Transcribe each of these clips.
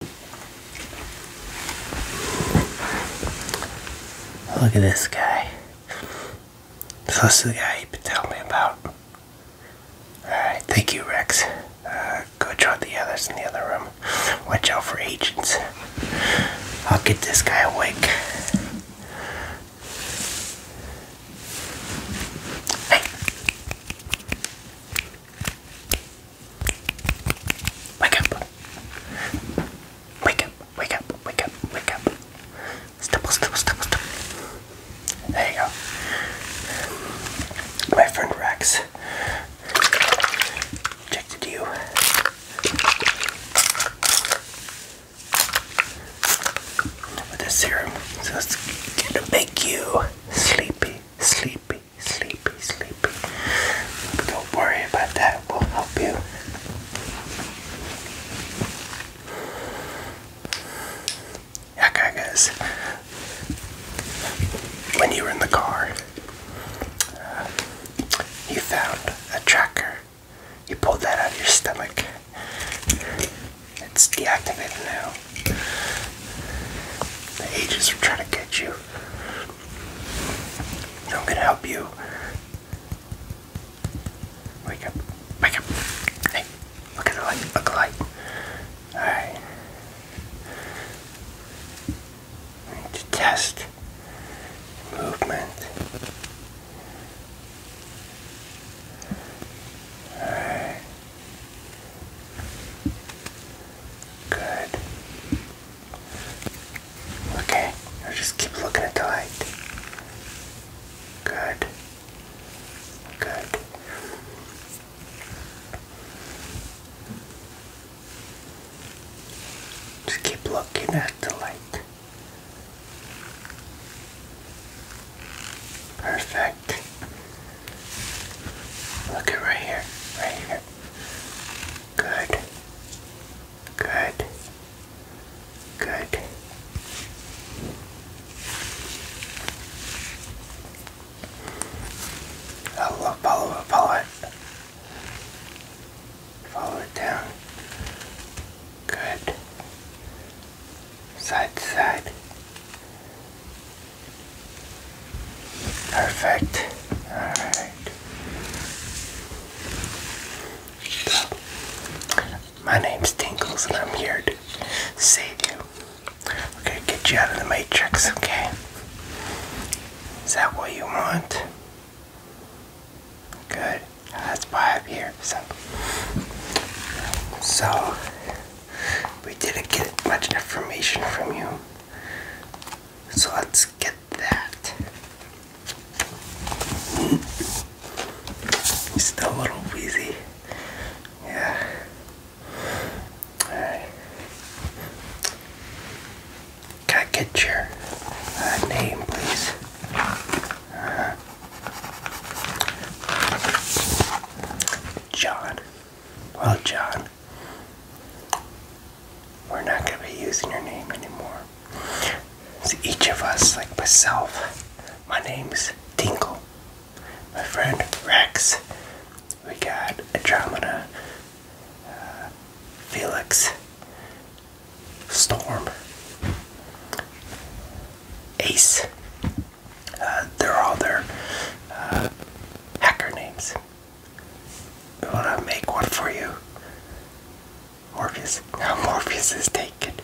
Look at this guy. So this is the guy you've been me about. Alright, thank you, Rex. Uh, go draw the others in the other room. Watch out for agents. I'll get this guy awake. Hey. Wake up. Wake up, wake up, wake up, wake up. Stipple, stipple, stipple, stipple. There you go. My friend Rex rejected you. With this serum, so it's gonna make you sleepy, sleepy, sleepy, sleepy. don't worry about that, we'll help you. Okay, guys, when you were in the car, uh, you found a tracker. You pulled that out of your stomach. It's deactivated now. The agents are trying to get you. I'm gonna help you. Wake up. Wake up. Hey, look at the light. Look at the light. Alright. need to test movement. Alright. Good. Okay, just keep looking at the light. Good. Good. Just keep looking at the light. Perfect back. Look at right here, right here. Good. Good. Good. I'll follow it, follow Follow it down. Good. Side side. Perfect. Alright. So, my name's Tinkles and I'm here to save you. Okay, get you out of the matrix, okay? Is that what you want? Good. That's why I'm here. So, so we didn't get much information from you. So let's get that. He's still a little wheezy. Yeah. Alright. Can I get your uh, name, please? Uh-huh. John. Well, John, we're not going to be using your name anymore. It's each of us, like myself, my name's Tinkle. My friend Rex. We got Andromeda. Uh, Felix. Storm. Ace. Uh, they're all their uh, hacker names. We want to make one for you. Morpheus. Now Morpheus is taken.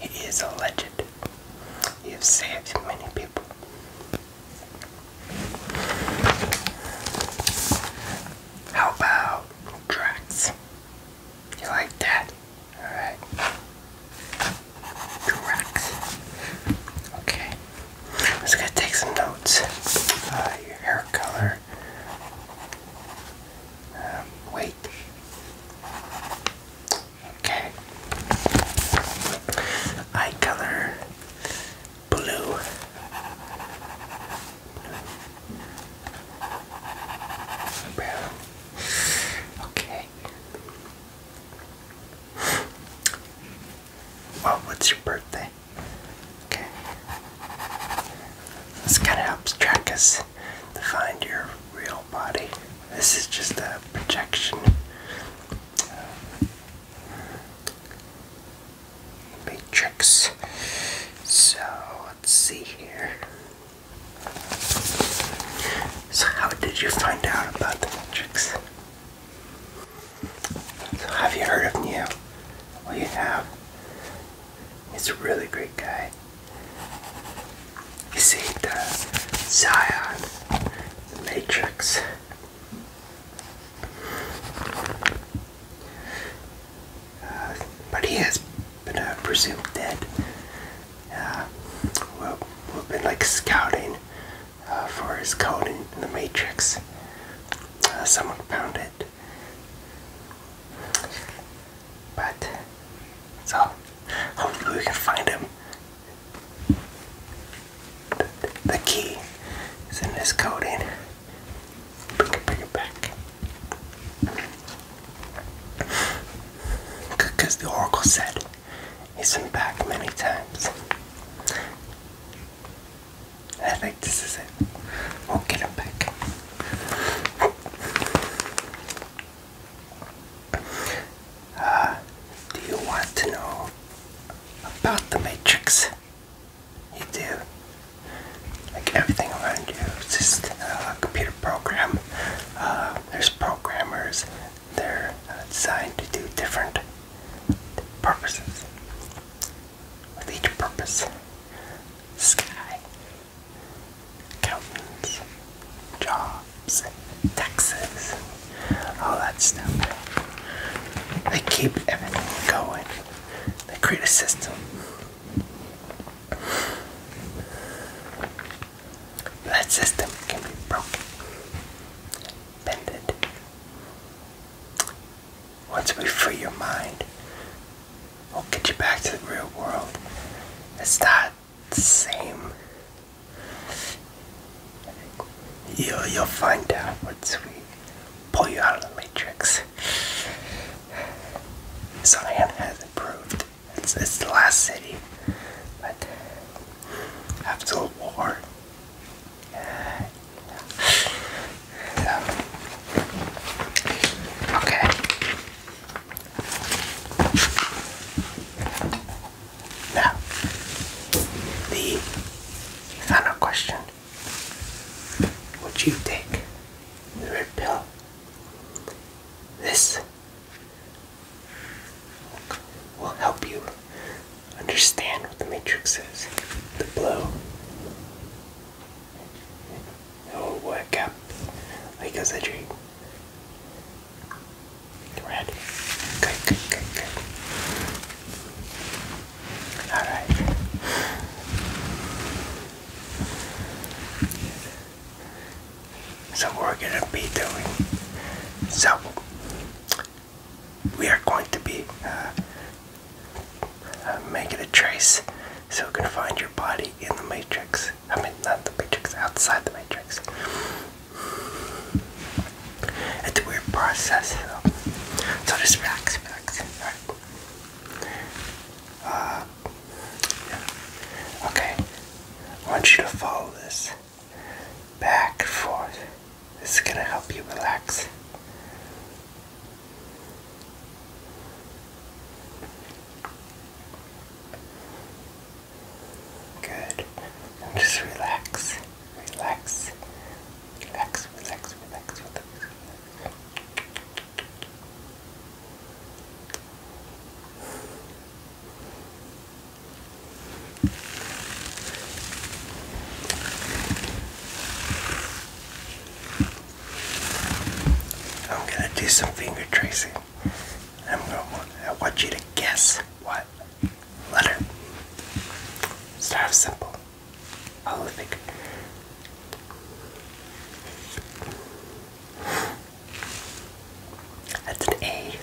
He is a legend. You've saved many people. How about Drax? You like that? Alright. Two Okay. I'm just gonna take some notes. Uh, hair color. Um, weight. Okay. Eye color. Blue. Brown. Okay. Well, what's your birthday? Okay. This kind of helps track us to find your real body. This is just a projection. Matrix. So let's see here. So, how did you find out about the Matrix? have you heard of Neo? Well, you have. He's a really great guy. You see, uh, Zion, the Matrix. Uh, but he has been uh, presumed dead. Uh, we've, been like scouting uh, for his code in, the Matrix. Uh, someone found it. But, so, hopefully we can find him. The, key is in this coding. Bring it, bring it back. Because the Oracle said he's been back many times. I think this is it. We'll get him back. Uh, do you want to know about the Matrix? You do. Like everything around you, it's just uh, a computer program uh, there's programmers. They're uh, designed to do different purposes. With each purpose, sky, accountants, jobs, taxes, all that stuff. They keep everything going. They create a system that system can be broken, bended. Once we free your mind, we'll get you back to the real world. It's not the same. You'll, you'll find out once we pull you out of the matrix. Zion has improved. It's, it's the last city. But after the war, okay. Now, the final question: Would you take the pill this will help you understand what the matrix is. The blow it will work up like as a dream. Red. Good, good, good, good. Alright. So we're going to be doing. So we are going to be uh, uh, making a trace so we can find your body in the matrix. I mean, not the matrix, outside the matrix. It's a weird process, So just relax, relax. Alright. Uh, Okay. I want you to follow this back and forth. This is going to help you relax. Good. just Relax, relax, relax, relax. relax. I'm gonna do some finger tracing. I'm gonna I want you to guess what letter. Start simple. All that's an A.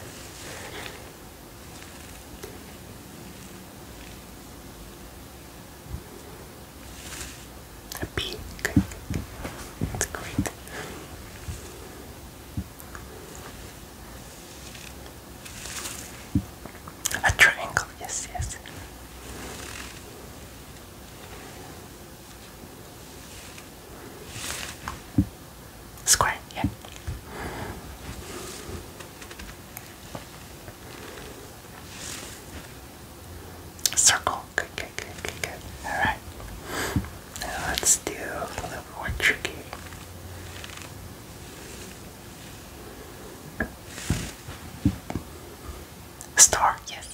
A B. That's great. A triangle, yes, yes. Square, yeah. Circle, good, good, good, good, Alright. Now let's do a little more tricky. Star, yes.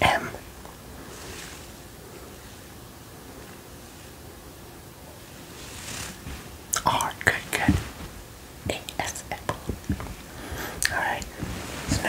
M. R. Good, good. A. S. Alright, so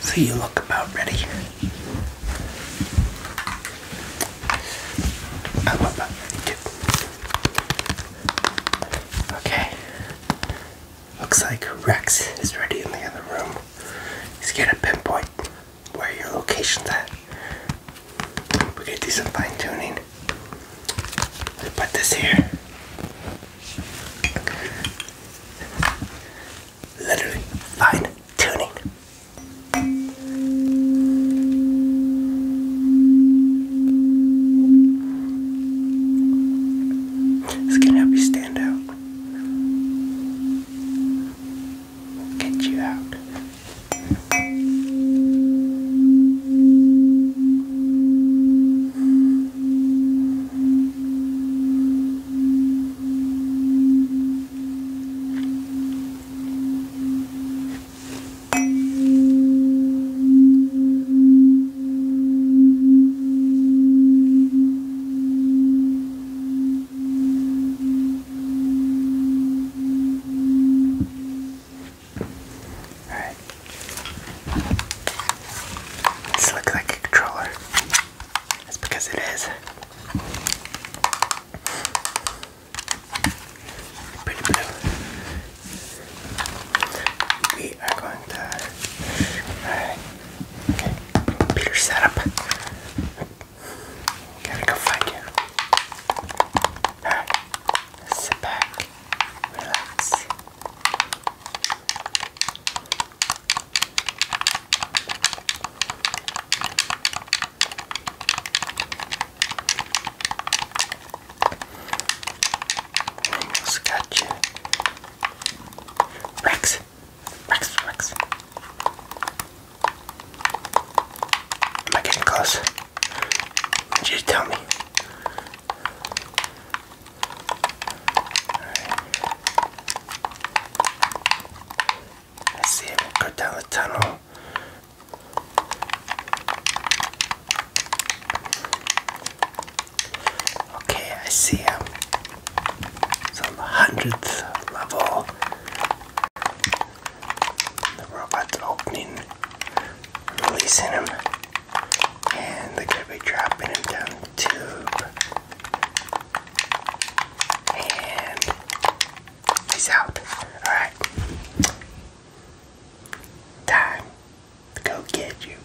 So you look about ready. Okay. Looks like Rex is ready in the other room. He's gonna pinpoint where your location's at. we can do some fine tuning. put this here. Literally fine tuning. It's going help you stand out. Get you out. Alright. This looks like a controller. That's because it is. Pretty blue. We are going to. Alright computer setup. Gotta go find you. Alright, sit back, relax. Almost got you. Rex Rex. Am I getting close? You tell me. Let's see go down the tunnel. Okay, I see him. Um, it's on the hundredth level. The robot's opening, releasing him, and they're gonna be dropping him down the tube. And he's out. Alright. Time to go get you.